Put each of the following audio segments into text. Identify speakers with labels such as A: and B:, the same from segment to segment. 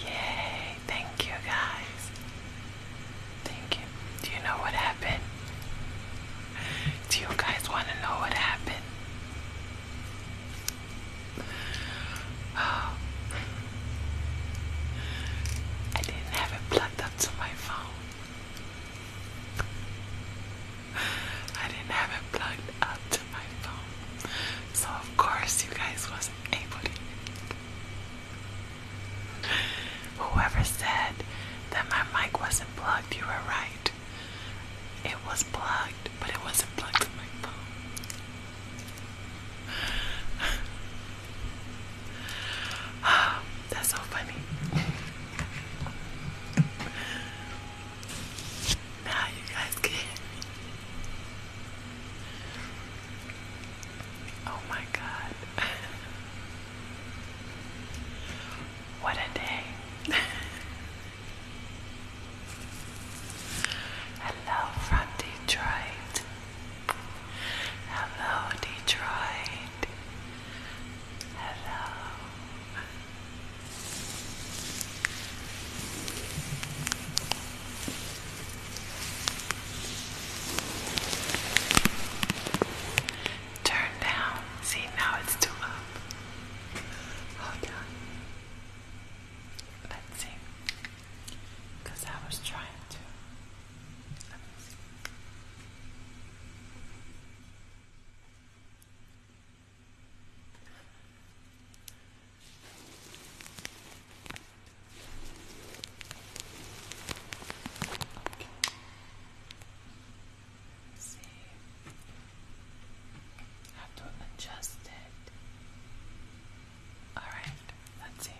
A: Yay, thank you guys. Thank you. Do you know what happened? Do you guys want to know what happened? Oh. I didn't have it plugged up to my phone. I didn't have it plugged up my phone. So of course you guys wasn't able to Whoever said that my mic wasn't plugged, you were right. It was plugged, but it wasn't plugged in my phone. that's so funny. Now you guys can hear Oh my god. what a day. Hello from Detroit. Hello, Detroit. Hello. Turn down. See, now it's too up. Hold on. Let's see. Because I was trying to. Okay. See how to adjust it. Alright, let's see.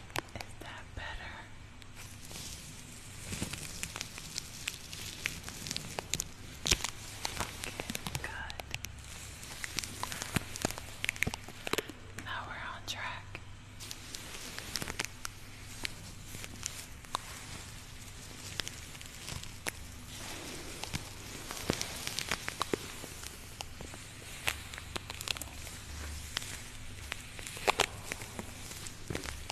A: Is that better? good. Now we're on track. Okay.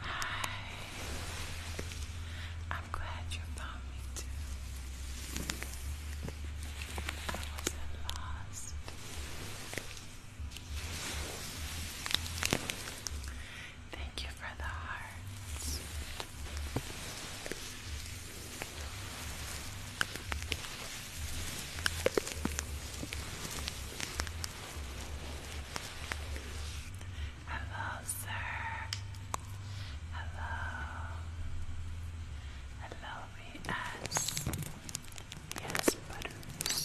A: Hi. I'm glad you found me too. I wasn't lost. Thank you for the hearts. Hello, sir. Hello. Hello, VS. Yes, butters.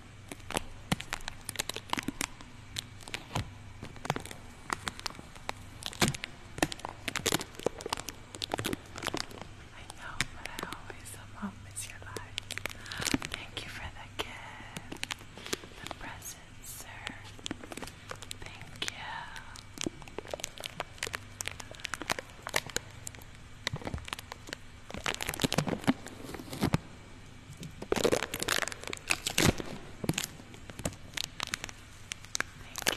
A: I know, but I always somehow miss your life. Thank you for the gift, the present, sir. Thank you. Thank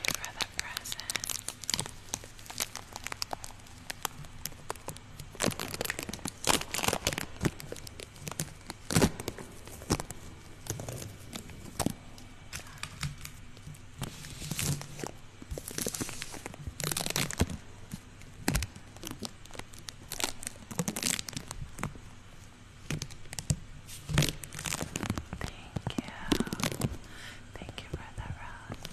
A: you for the present. Thank you. Thank you, Brother Rose.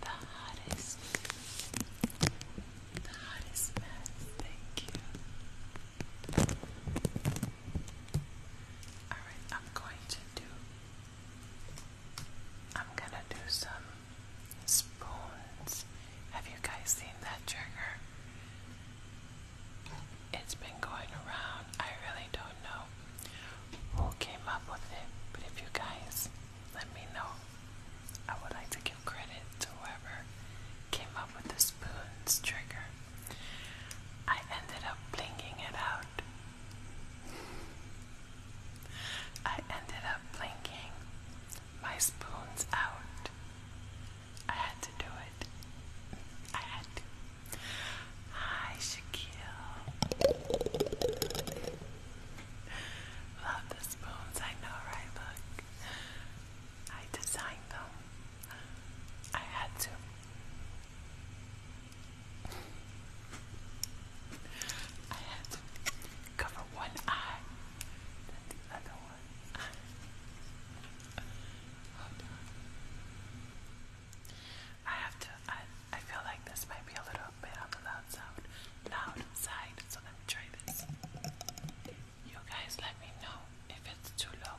A: The hottest. The hottest mess. Thank you. Alright, I'm going to do I'm gonna do some spoons. Have you guys seen that trigger? It's been going around. I really don't know who came up with it, but if you guys let me know, I would like to give credit to whoever came up with the spoons trigger. I ended up blinking it out. I ended up blinking my spoons out. I had to do it. I had to. Hi, Shaquille. Love the spoons, I know, right? Look. I designed them. I had to. I had to. Cover one eye, then the other one. I have to. I I feel like this might be a little bit on the loud sound, loud side. So let me try this. You guys, let me know if it's too low.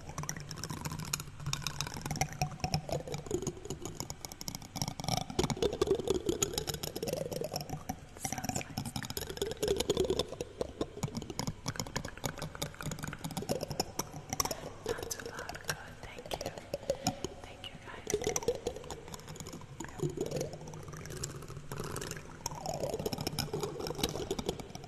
A: Sounds nice. Not too loud, good. Thank you. Thank you guys. Yep.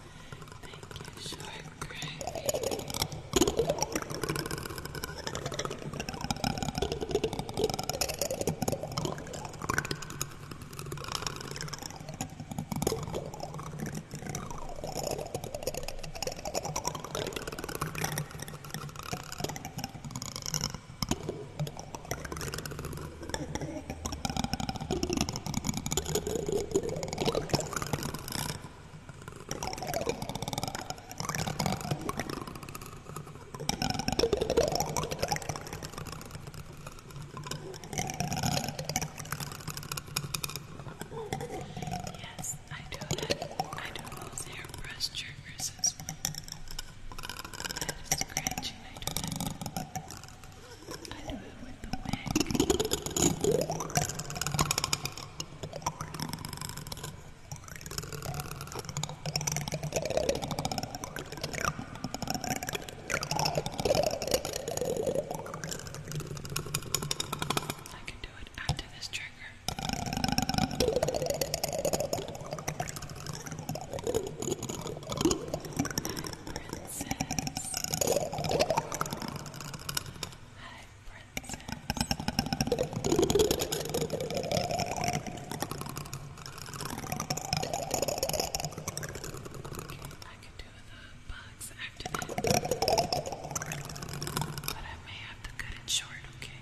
A: Thank you, Shark Yes, I do that. I do those airbrush triggers as well. That is scratching, I do that. I threw it with the wig. I can do it after this trigger. We're in princess. Hi, princess. I could do the bugs after that. But I may have to cut it short, okay?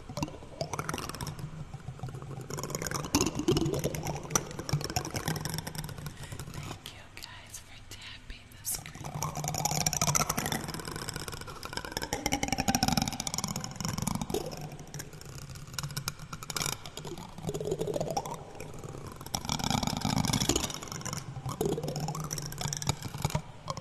A: Thank you guys for tapping the screen.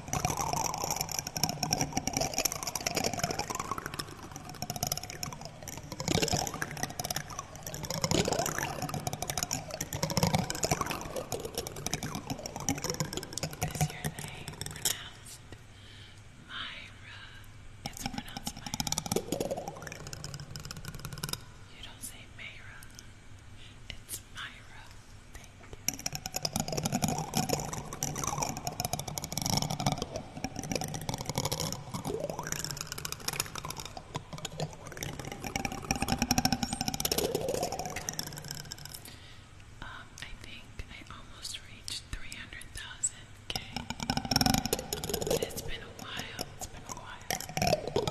A: Is your name pronounced Myra? It's pronounced Myra. You don't say Mayra. It's Myra. They um, I think I almost reached 300,000K. It's been a while, it's been a while.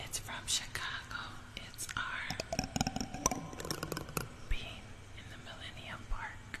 A: It's from Chicago. It's our bean in the Millennium Park.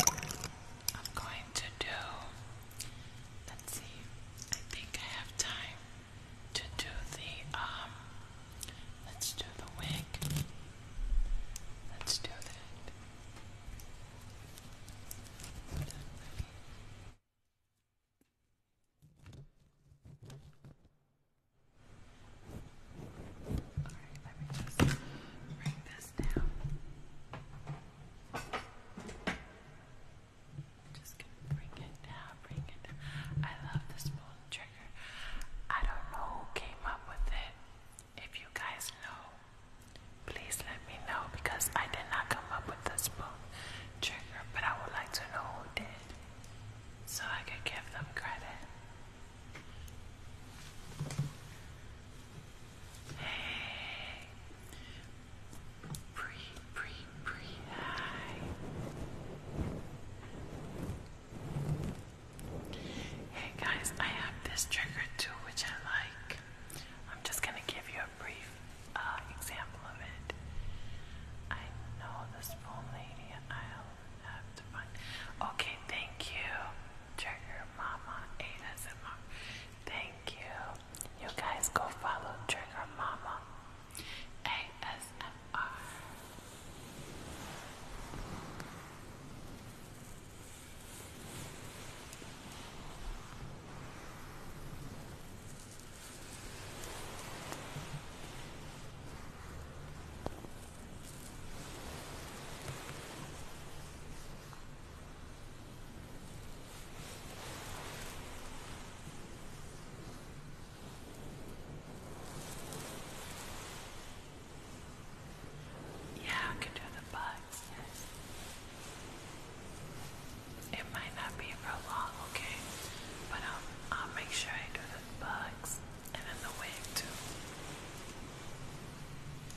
A: I'm going to do, let's see, I think I have time to do the, um, let's do the wig. Let's do that. Alright, let me just bring just gonna bring it down, bring it down. I love this moon trigger. I don't know who came up with it. If you guys know, please let me know because I did not come up with this moon trigger, but I would like to know who did so I could give them credit. Hey. Breathe, breathe, breathe. Hi. Hey guys, I have this trigger too, which I like. I'm just gonna give you a brief uh, example of it. I know this poor lady Okay, thank you. Trigger Mama ASMR. Thank you. You guys go follow Trigger Mama ASMR. Yeah, I could do the bugs, yes. It might not be for long, okay? But I'll, um, I'll make sure I do the bugs and then the wig too.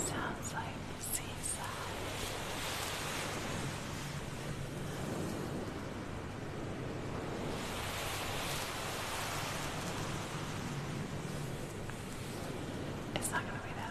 A: Sounds like seaside. It's not going to be that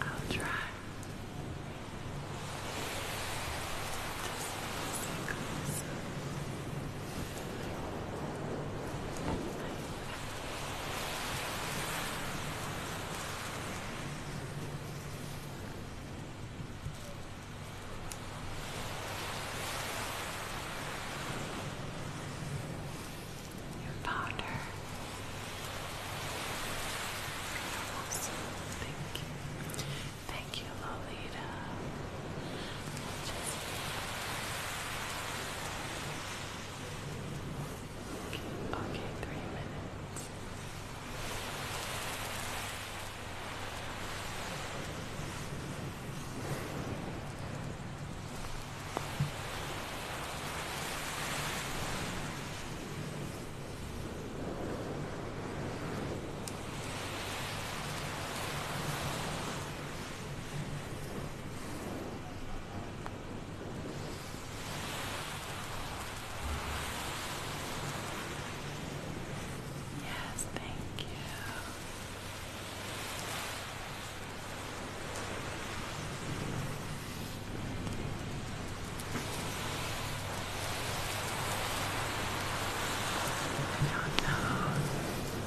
A: I'll try. Just your powder. Awesome. Thank you. Thank you, Lolita. Okay, three minutes. Okay, Yes, thank you. I don't know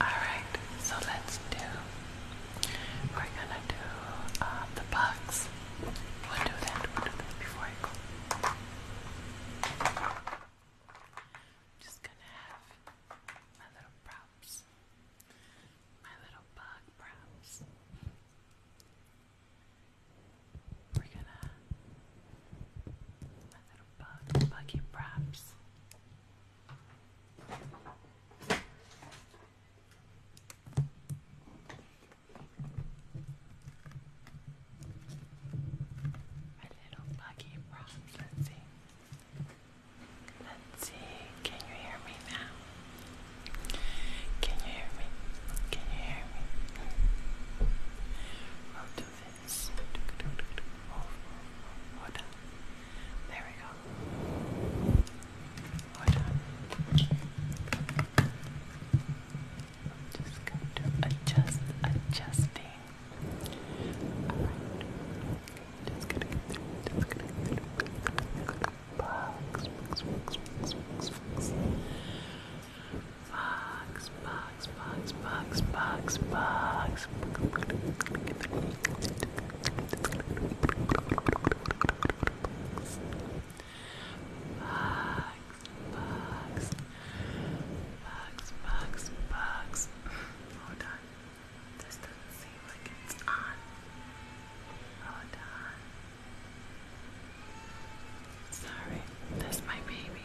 A: Alright, so let's do, we're gonna do uh, the bugs. We'll do that, we'll do that before I go. I'm just gonna have my little props, my little bug props. We're gonna bug, buggy wraps. My little buggy props. Let's see. Let's see. Can you hear me now? Can you hear me? Can you hear me? I'll do this. There we go. I'm just going to adjust, adjusting. Just gonna get through, just gonna get through. Bugs, Bugs, bugs, bugs, bugs, bugs, bugs. Bugs, bugs, bugs, bugs, bugs. Hold on. This doesn't seem like it's on. Hold on. Sorry, that's my baby.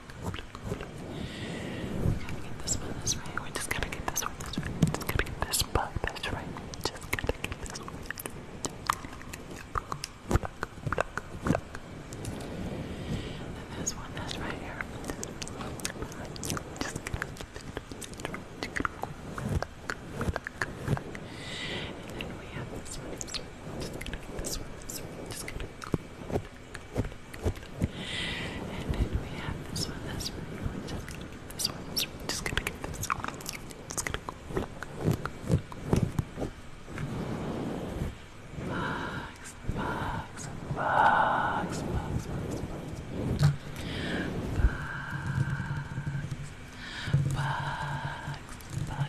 A: good, good. We gotta get this one this right. We just gotta get this one this right. Just gotta get this bug this right. Just gotta get this one this right. And this one that's right here. Just and then we have this one. Just gonna get this one. This one. Just gonna. And then we have this one, this one, this one, this one. Just gonna get this one. Just gonna go. Bugs, bugs, bugs, bugs, bugs, bugs, bugs. Bugs, bugs, bugs,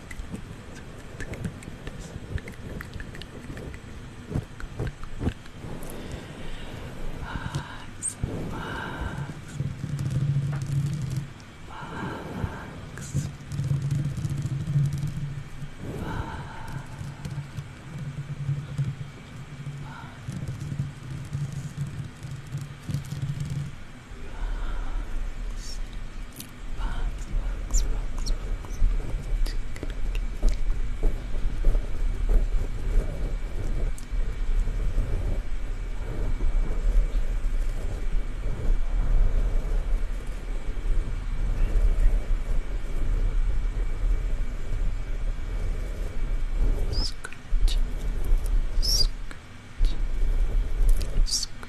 A: Bugs, bugs, bugs, bugs, bugs box, box, box, box. Scratch, scratch, scratch, scratch,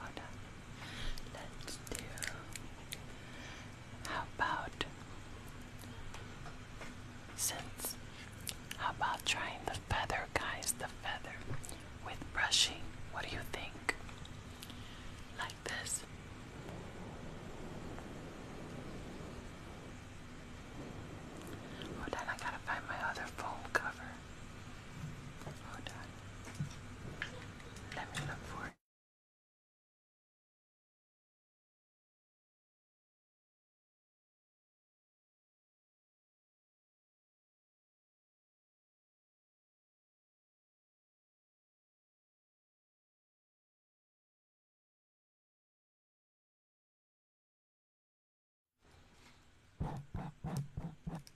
A: Hold on. Let's do. How about since? How about trying the feather, guys? The feather with brushing. What do you think? Like this. Hold on, I gotta find my other foam cover. Hold on. Let me look for it.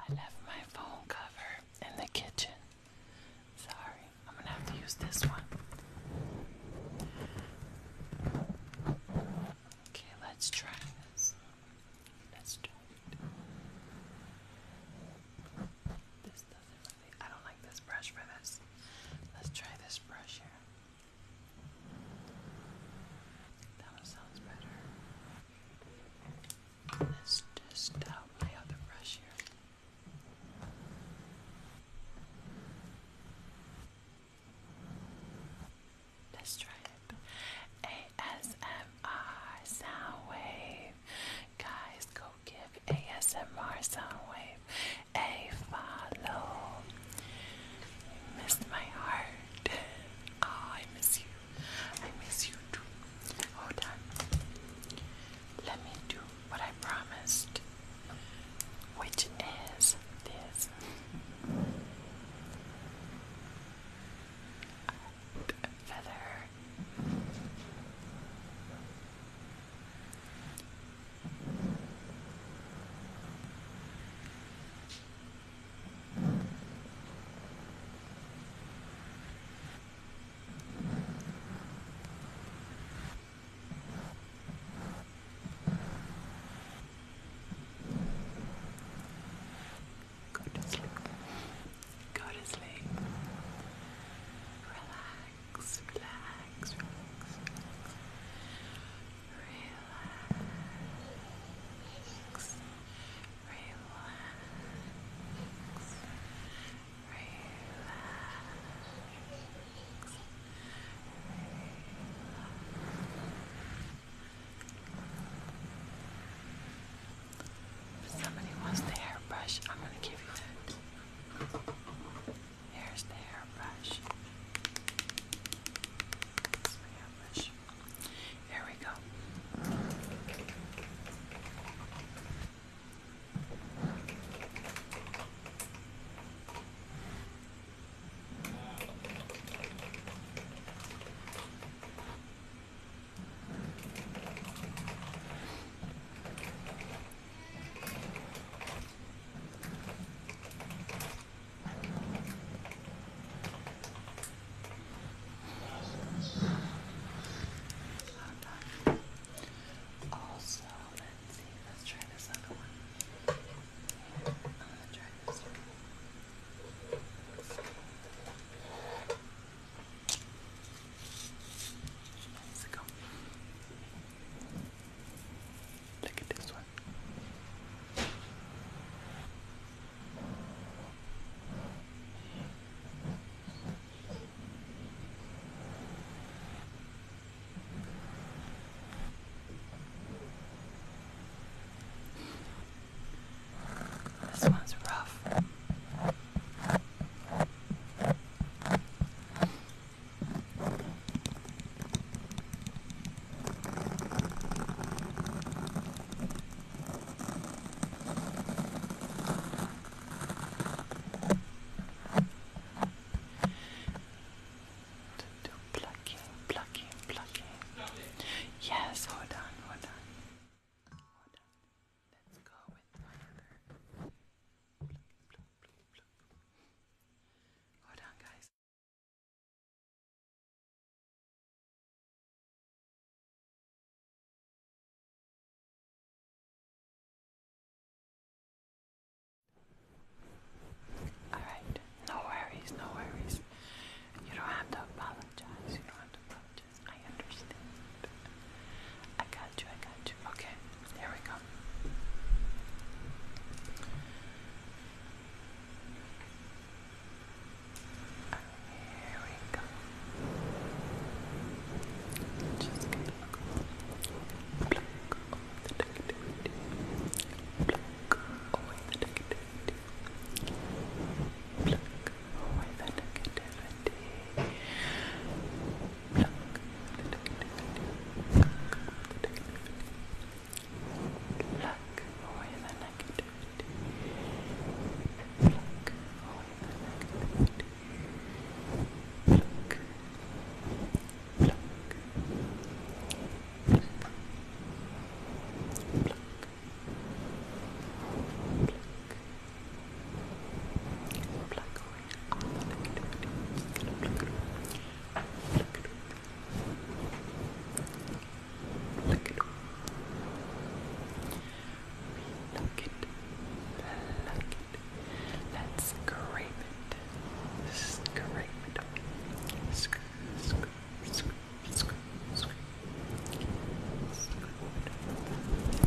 A: I left my phone cover in the kitchen. Sorry, I'm gonna have to use this one. Okay, let's try this. Let's try it. This I don't like this brush for this. Let's try this brush here. That sounds better. Let's just out my other brush here. Let's try it. ASMR sound wave. Guys, go give ASMR Soundwave a follow. missed my heart. Oh, I miss you. I miss you too. Hold on. Let me do what I promised, which is this. feather Go to sleep. Go to sleep. Relax relax, relax, relax, relax, relax, relax. somebody wants the hairbrush, I'm going to give you that. Here's the hairbrush. That's my hairbrush. There we go. Hold on. Also, let's see, let's try this other one. try this one let Look at this one. This one's rough. Do plucking, plucking, plucking. Yes, hold on, hold on. Hold on. Let's go with my Hold on, guys. Alright, no worries, no worries. You don't have to apologize. You don't have to apologize. I understand. I got you, I got you. Okay, there we go. Here we go. Just gonna look over the negativity. Pluck away the negativity. Pluck away the Pluck away the negativity. Pluck away the negativity. Pluck. Pluck. Pluck. Pluck. Pluck. Let's scrape it. Scrape it. Scrape, scrape, scrape, scrape, scrape. Scrape it.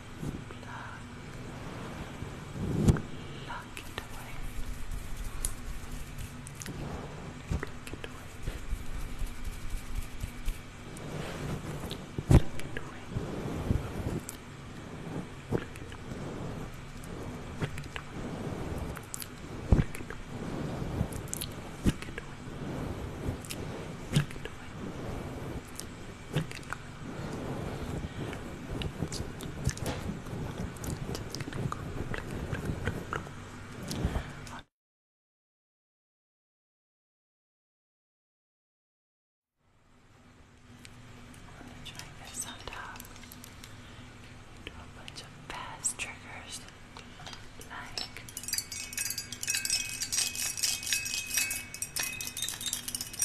A: Pluck. Pluck it away. Pluck it away. Pluck it away. Pluck it away. Pluck it away. Pluck it away. Pluck it away gonna try this on top. Do a bunch of fast triggers like. Do oh,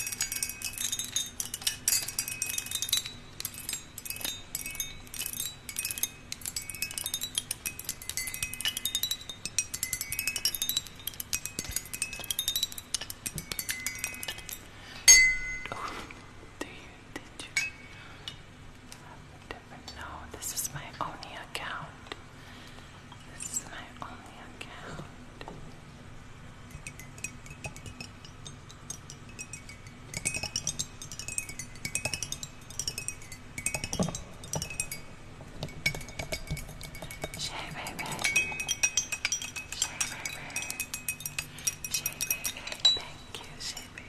A: you, did you? No, this is my only account. This is my only account. Shay baby, Shay baby, Shay baby, thank you, Shay baby.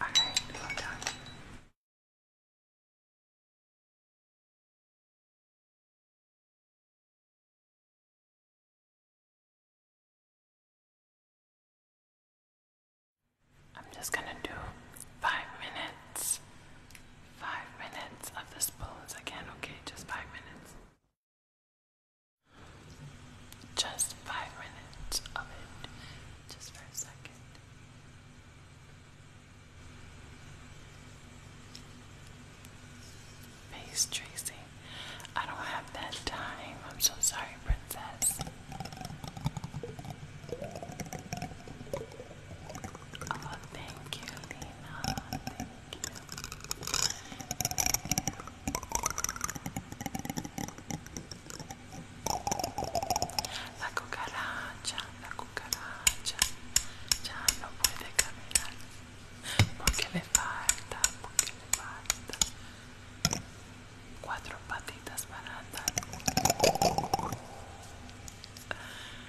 A: Alright, well done. I'm just gonna do five minutes five minutes of the spoons again, okay? Just five minutes. Just five minutes of it, just for a second. Face Tracy, I don't have that time. I'm so sorry, Princess. Oh, thank you, Lena. La cucaracha, la cucaracha ya no puede caminar porque le falta, porque le falta cuatro patitas para andar.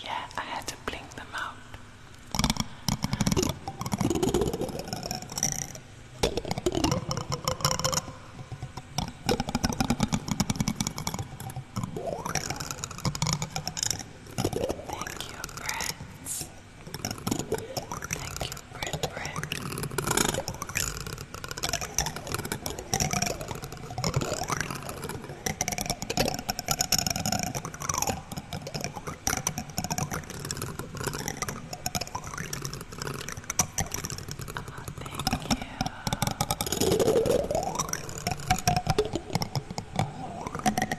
A: Yeah, I had to blink them out. Thank you, friends. Thank you, Brit Thank you.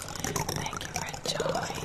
A: Thank you for enjoying.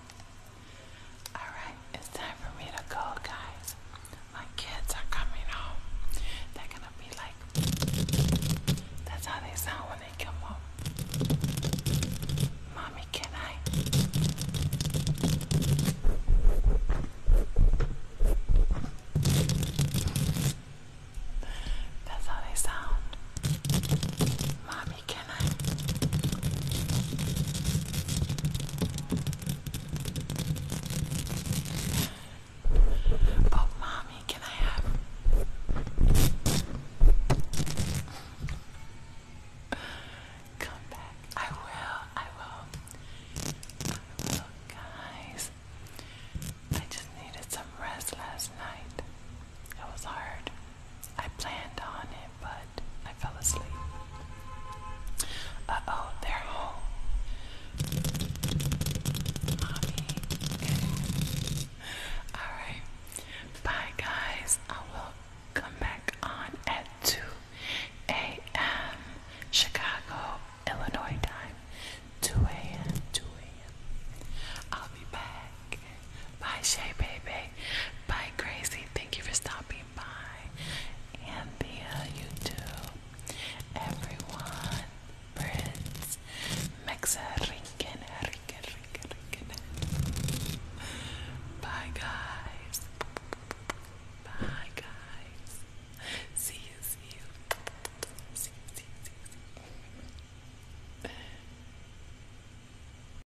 A: Alright, it's time for me to go, guys. My kids are coming home. They're gonna be like, that's how they sound when they come home. Mommy, can I? That's how they sound. Mommy, me, can I? But mommy, can I have come back? I will, I will, I will, guys. I just needed some rest last night. It was hard. I planned on it, but I fell asleep. Uh oh, they're home. Alright. Bye, guys. I will come back on at 2 a.m. Chicago, Illinois time. 2 a.m. 2 a.m. I'll be back. Bye, Shay Baby. Bye, Crazy. Thank you for stopping by. Anthea, you too. Everyone. Prince. Mexa, Rinkin, Rinkin, Rinkin, Rinkin. Bye, guys. Bye, guys. See you, see you. See see see See